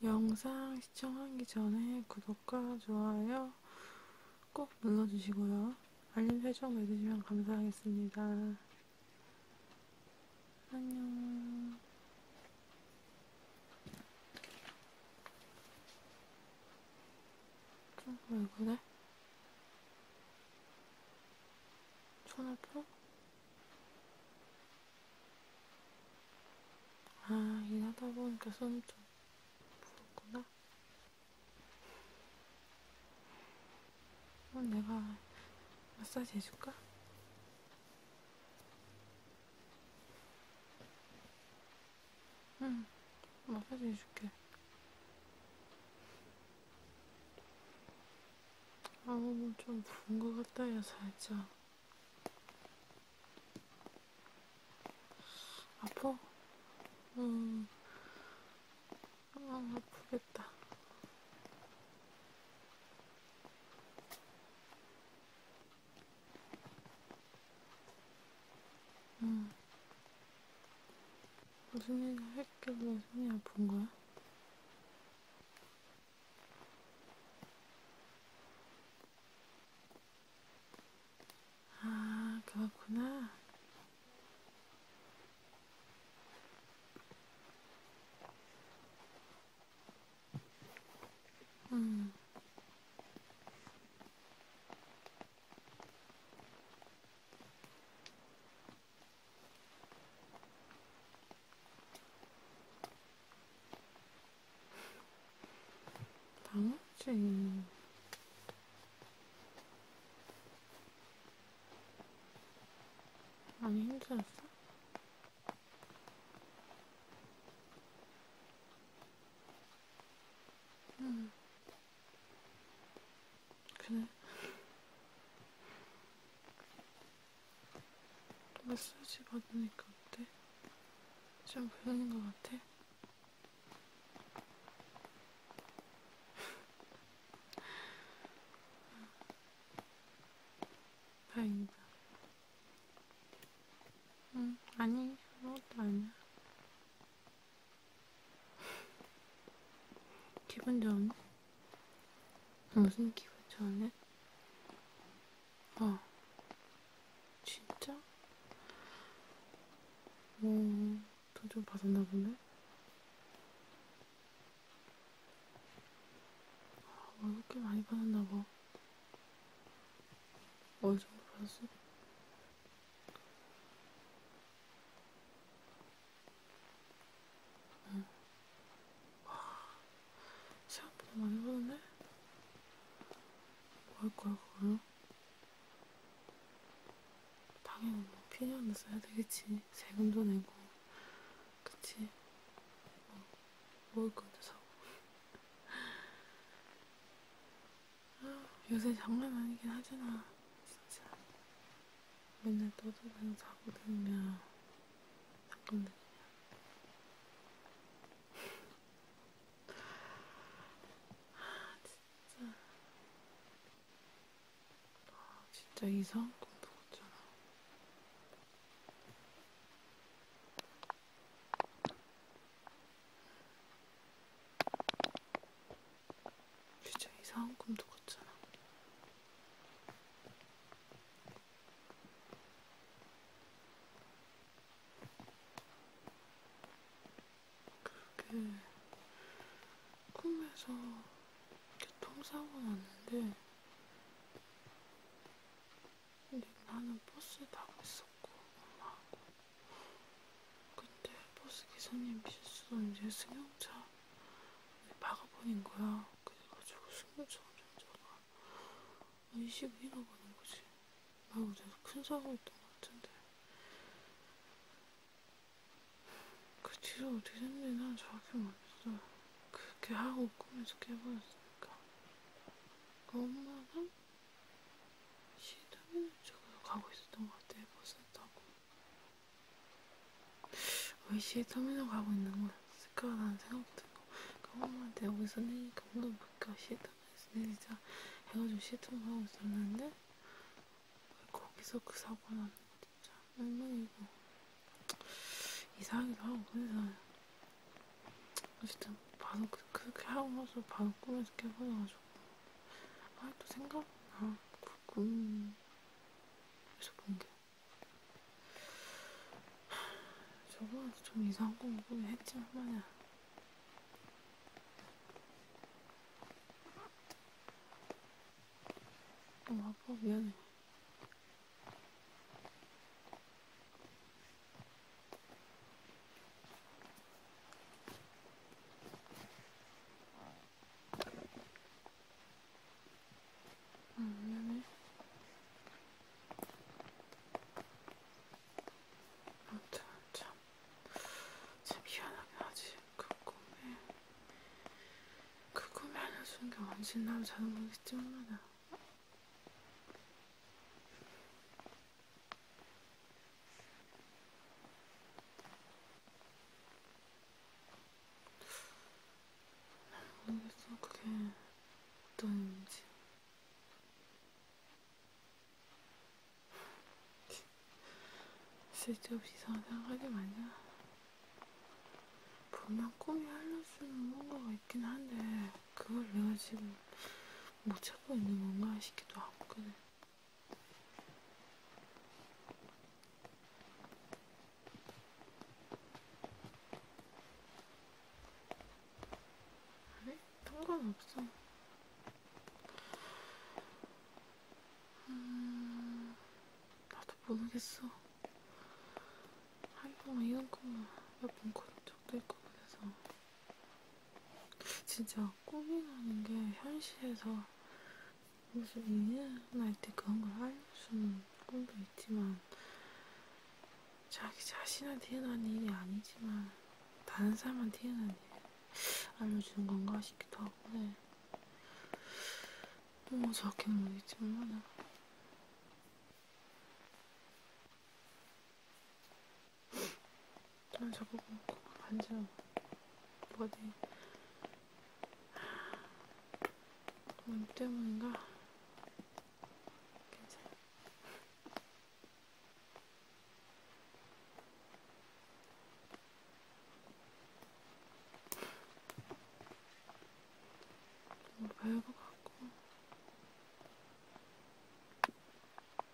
영상 시청하기 전에 구독과 좋아요 꼭 눌러주시고요. 알림 설정 해주시면 감사하겠습니다. 안녕. 왜 그래? 손을 펴? 아, 일하다 보니까 손이 좀 부었구나. 그럼 내가 마사지 해줄까? 응, 음, 마사지 해줄게. 아우, 좀 부은 것 같다, 야, 살짝. 아파? 응. 음, 아, 아프겠다. 응. 음. 무슨 얘기 할게 왜 손이 아픈 거야? 아, 그렇구나. 음. 당황지. 많이 힘들었어? 응. 그래. 마사지 받으니까 어때? 좀 불편한 것 같아? 다행이다. 응, 음, 아니, 아무것도 아니야. 기분 좋네? 무슨 기분 좋네? 어, 진짜? 오, 돈 좀 받았나 보네? 어, 아, 꽤 많이 받았나 봐. 어디서 봤어? 응. 생각보다 많이 가는데? 뭐할 거야, 그거요? 당연히 뭐 필요한데 써야 되겠지. 세금도 내고. 그치? 뭐, 먹을 건데 사고. 요새 장난 아니긴 하잖아, 진짜. 맨날 떠들면 자고 들면 잠깐 들면. 아, 진짜. 아, 진짜 이상한 꿈 꾸었잖아. 진짜 이상한 꿈도 꿨잖아. 그렇게 꿈에서 교통사고 났는데 근데 나는 버스에 타고 있었고 엄마하고 근데 버스 기사님 실수로 이제 승용차 박아버린 거야 그래가지고 승용차 운전자가 22나 가는 거지 나 어제도 큰 사고였던 것 같은데 그 뒤로 어떻게 됐는지 난 정확히 모르겠어 그렇게 하고 꿈에서 깨버렸으니까 그 엄마는 시도면 쪽으로 가고 있었던 것 같아요. 버스 타고. 왜 시터미널 가고 있는 거였을까라는 생각도 들고 그엄마한테 여기서 내니까 오늘 볼까 시터미널에서 내리자 해가지고 시터미널 가고 있었는데 왜 거기서 그 사고 나는 거 진짜 얼마나 이거 이상하기도 하고 그래서 어쨌든 바로 그, 그렇게 하고 나서 바로 꿈에서 깨버려가지고 아직도 생각나 그 꿈에서 본게 저번에도 좀 이상한 꿈을 꾸긴 했지만 말이야 엄마 어, 아빠 미안해 안면을 아, 참, 참, 참 미안하긴 하지. 그 꿈에, 그 꿈에 알려준 게 원신 남자는 거겠지, 얼마나. 모르겠어. 그게 어떤 의미인지. 쓸데없이 이상한 생각하지 마냐. 분명 꿈이 흘러주는 뭔가가 있긴 한데 그걸 내가 지금 못 찾고 있는 건가 싶기도 하고 그래. 아니, 상관없어. 음, 나도 모르겠어. 한 번만 이런 것만 몇번 걸은 적도 있고 그래서 진짜 꿈이라는 게 현실에서 무슨 인연할 때 그런 걸 알려주는 꿈도 있지만 자기 자신한테 일어난 일이 아니지만 다른 사람한테 일어난 일 알려주는 건가 싶기도 하고 네. 너무 정확히 모르겠지만 난 저보고 반지로 뭐가 돼? 돈 때문인가? 괜찮아. 너무 뭐 배울 것 같고.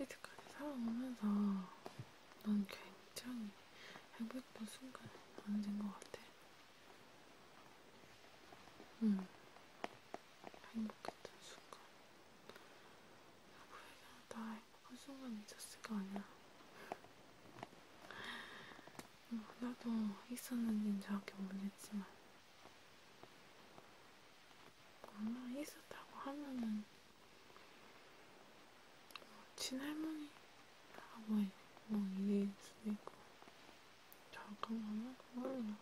이때까지 살아오면서 넌 굉장히 행복했던 순간이 언제인 것 같아. 응. 행복했던 순간. 누구에게나 다 행복한 순간이 있었을 거 아니야. 뭐 하나 더 있었는지는 정확히 모르겠지만 엄마 있었다고 하면은 뭐 친할머니 아버지 뭐, 뭐 이럴 수도 있고 잠깐만요 몰라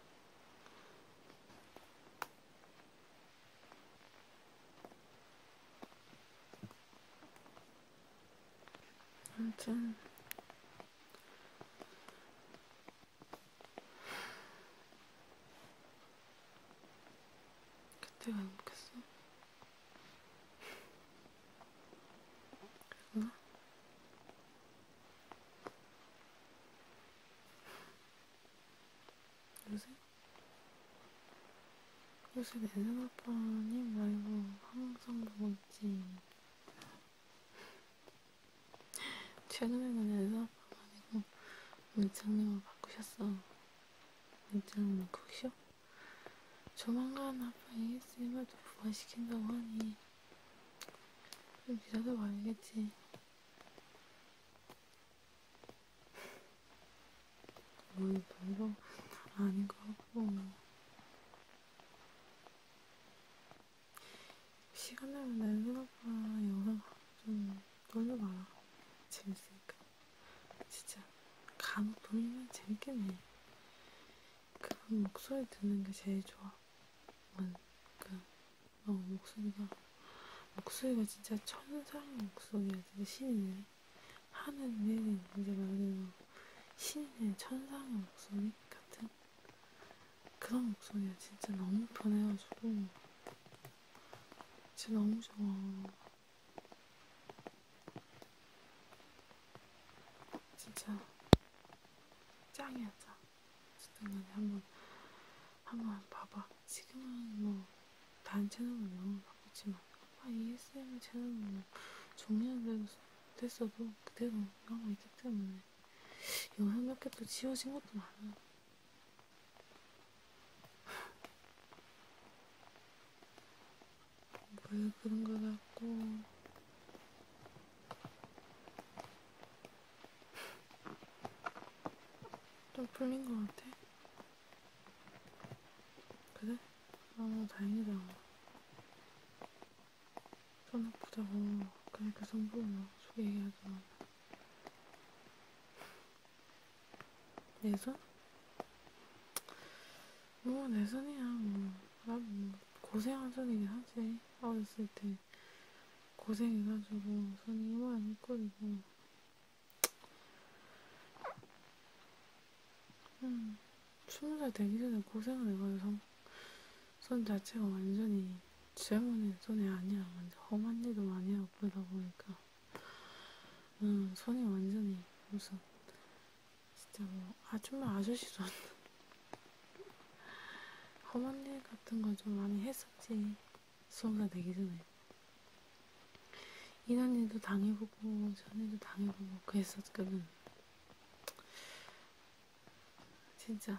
아무튼 그때가 행복했어. 그랬구나. 요새? 요새 내생아빠님 말고 항상 누군지 최근에는 연습하고 아니고 문장님을 바꾸셨어. 문장님 쿡쇼? 조만간 아빠 ASMR도 부활시킨다고 하니 좀 기다려 봐야겠지. 오늘 별로 아닌 것 같고 시간 나면 날그나봐 영상 좀 돌려봐라. 재밌으니까. 진짜 간혹 돌리면 재밌겠네. 그런 목소리 듣는 게 제일 좋아. 그러니까 어, 목소리가 목소리가 진짜 천상 목소리야. 진짜 신이네. 하는 내내 이제 말하는 신이네 천상의 목소리 같은 그런 목소리가 진짜 너무 편해가지고 진짜 너무 좋아. 진짜 짱이야 짱. 어쨌든 한번 한번 봐봐. 지금은 뭐 다른 채널은 너무 뭐 바쁘지만 아마 ASMR 채널은 뭐 종료는 됐어도 그대로 남아있기 때문에 영화 몇개또 지워진 것도 많아. 왜 그런 거 같고. 좀 풀린 것 같아. 그래? 아, 뭐 다행이다. 뭐. 손 아프다고 그러니까 성부모 속에 얘기하지만 내선? 뭐 내선이야 뭐난 아, 뭐, 고생한 선이긴 하지 어렸을 때 고생해가지고 손이 이만 이끌이고 음, 스무 살 되기 전에 고생을 해가지고 손 자체가 완전히 지저분한 손이 아니야. 완전 험한 일도 많이 하고 그러다 보니까 음, 손이 완전히 무슨 진짜 뭐 아줌마 아저씨 손 험한 일 같은 거좀 많이 했었지. 수험자 되기 전에. 이런 일도 당해보고 저런 일도 당해보고 그랬었거든. 진짜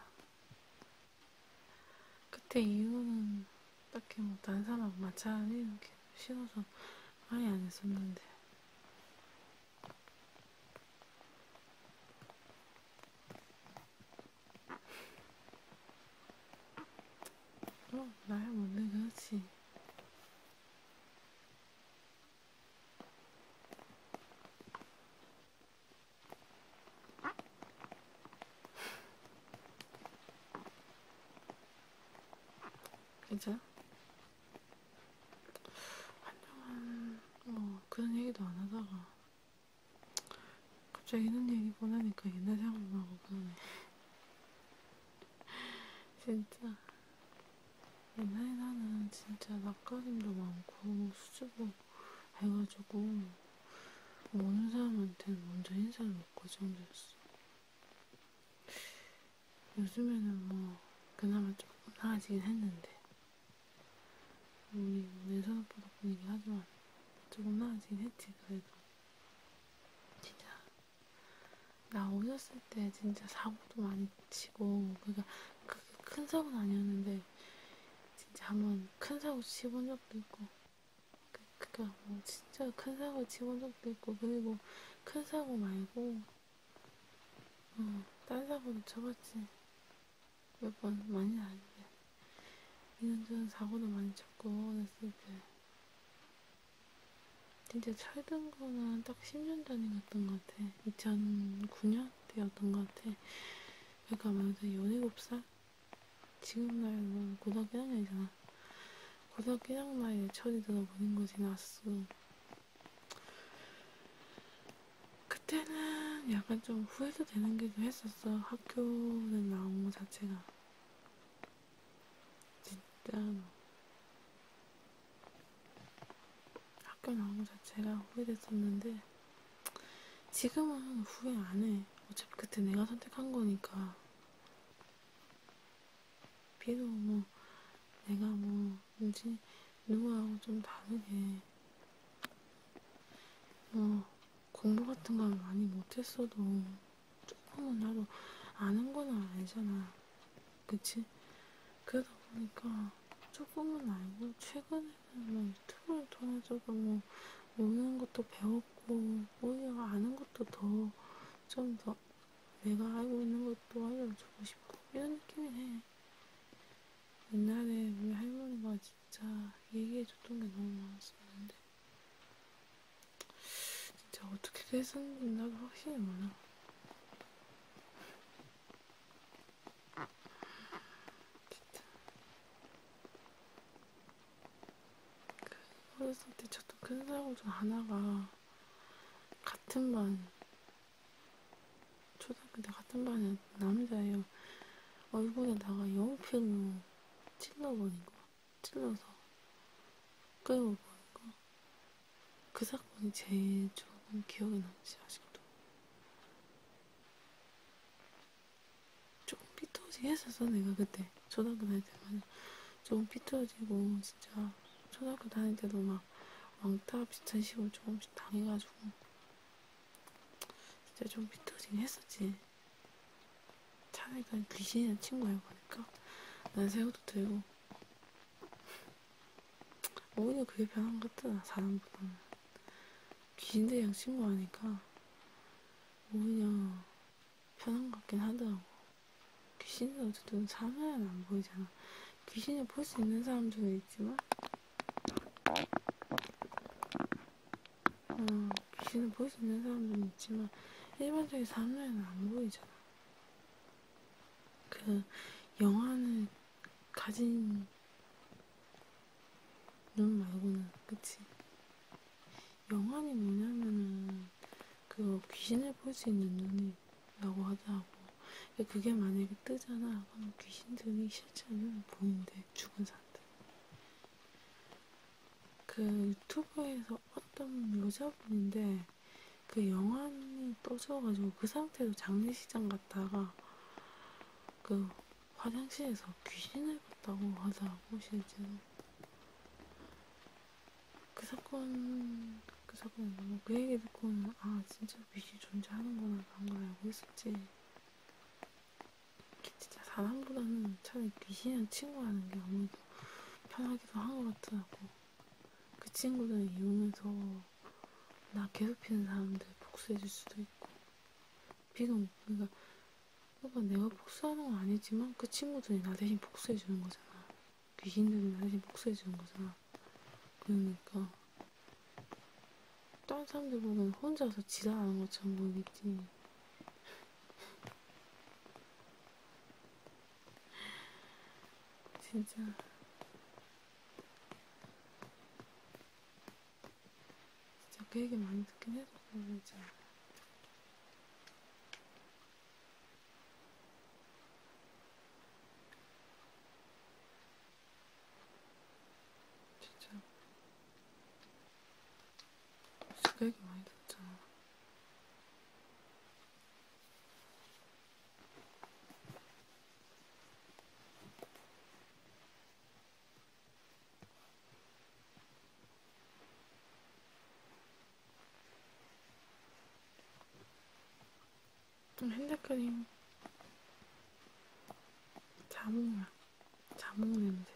그때 이유는 딱히 뭐 다른 사람 마찰 이렇게 싫어서 아예 안 했었는데 어, 나야 뭔데 그렇지 이제 한동안 뭐 그런 얘기도 안 하다가 갑자기 이런 얘기 보내니까 옛날 생각나고 그러네. 진짜 옛날에 나는 진짜 낯가림도 많고 수줍음 해가지고 모르는 사람한테는 먼저 인사를 못할 정도였어. 요즘에는 뭐 그나마 조금 나아지긴 했는데 우리 내 생각보다 분위기 하지만 조금 나아지긴 했지 그래도 진짜 나오셨을 때 진짜 사고도 많이 치고 그러니까 그 큰 사고는 아니었는데 진짜 한 번 큰 사고 치본 적도 있고 그, 그니까 뭐 진짜 큰 사고 치본 적도 있고 그리고 큰 사고 말고 어, 딴 사고도 쳐봤지 몇 번 많이 아닌데 이런저런 사고도 많이 쳤고 어렸을 때 진짜 철든 거는 딱 10년 전이었던 것 같아. 2009년 때였던 것 같아. 그러니까 만약에 17살? 지금 나이는 뭐 고등학교 1학년이잖아. 고등학교 1학년 나이에 천이 들어보는 거지, 나스. 그때는 약간 좀 후회도 되는 게 좀 했었어. 학교를 나온 거 자체가. 진짜로. 뭐. 학교 나온 거 자체가 후회됐었는데 지금은 후회 안 해. 어차피 그때 내가 선택한 거니까. 비도 뭐 내가 뭐 뭐지 누구하고 좀 다르게 뭐 공부 같은 걸 많이 못했어도 조금은 나도 아는 거는 알잖아. 그치? 그러다 보니까 조금은 알고 최근에 뭐 유튜브를 통해서도 뭐 모르는 것도 배웠고 오히려 아는 것도 더 좀 더 내가 알고 있는 것도 알려주고 싶고 이런 느낌이 해. 옛날에 우리 할머니가 진짜 얘기해줬던 게 너무 많았었는데 진짜 어떻게 됐었는지 나도 확실히 몰라. 어렸을 때 저도 큰 사고 중 하나가 같은 반 초등학교 때 같은 반에 남자예요. 얼굴에다가 연필로 찔러버린 거 찔러서 끌어버린 거 그 사건이 제일 조금 기억에 남지 아직도 조금 삐뚤어지게 했었어 내가 그때 초등학교 다닐 때만 조금 삐뚤어지고 진짜 초등학교 다닐 때도 막 왕따 비슷한 식으로 조금씩 당해가지고 진짜 좀 삐뚤어지게 했었지 차라리 그냥 귀신이란 친구야 보니까 난 새우도 들고 오히려 그게 편한 것 같더라 사람보다는 귀신들이랑 친구하니까 오히려 편한 것 같긴 하더라고. 귀신은 어쨌든 사면은 안 보이잖아. 귀신을 볼 수 있는 사람들도 있지만, 어, 귀신을 볼 수 있는 사람들은 있지만, 일반적인 사면은 안 보이잖아. 그, 영화는 가진 눈 말고는 그치? 영안이 뭐냐면은 그 귀신을 볼 수 있는 눈이라고 하더라고. 그게 만약에 뜨잖아. 그럼 귀신들이 실제는 보는데 죽은 사람들. 그 유튜브에서 어떤 여자분인데 그 영안이 떠져가지고 그 상태로 장례시장 갔다가 그 화장실에서 귀신을 봤다고 하더라고 실제로 그 사건 그 사건 뭐그 얘기 듣고는 아 진짜 귀신 존재하는구나 그런 걸 알고 있었지 진짜 사람보다는 차라리 귀신이랑 친구하는 게 아무래도 편하기도 한 것 같더라고 그 친구들 이용해서 나 괴롭히는 사람들 복수해줄 수도 있고 비는 그러니까 오빠 내가 복수하는 건 아니지만 그 친구들이 나 대신 복수해 주는 거잖아. 귀신들이 나 대신 복수해 주는 거잖아. 그러니까 다른 사람들 보면 혼자서 지랄하는 것처럼 보이겠지. 진짜 진짜 그 얘기 많이 듣긴 해서 모르겠지. 진짜 진짜 그 얘기 많이 듣잖아. 좀 핸드크림 자몽이야 자몽 냄새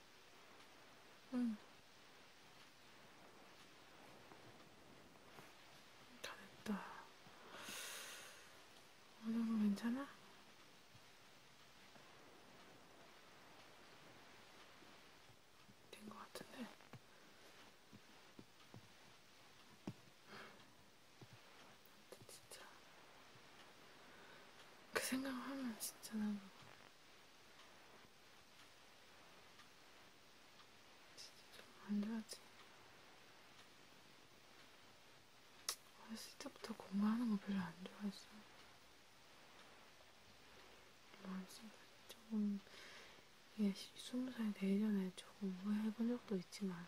응. 다 됐다. 오늘은 뭐 괜찮아? 된 것 같은데? 진짜 그 생각을 하면 진짜 나는 진짜 좀 안 좋아지. 어렸을 때부터 공부하는 거 별로 안 좋아했어. 마음속에 조금 이게 스무 살 되기 전에 조금 후회해본 적도 있지만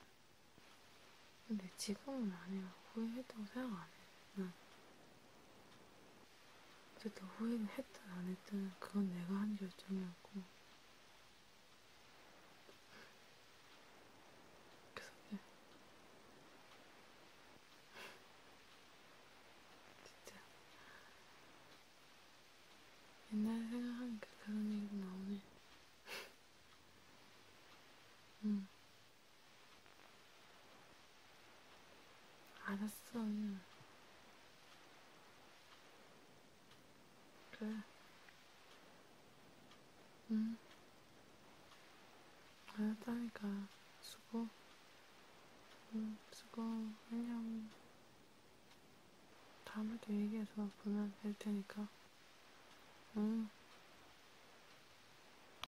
근데 지금은 아니라 후회했다고 생각 안 해. 난 어쨌든 후회는 했든 안 했든 그건 내가 한 결정이었고 그래서 그냥 진짜 옛날 생각하니까 그런 얘기도 나오네 응 음. 알았어. 그래. 응. 알았다니까. 수고. 응, 수고. 안녕. 다음에 또 얘기해서 보면 될 테니까. 응.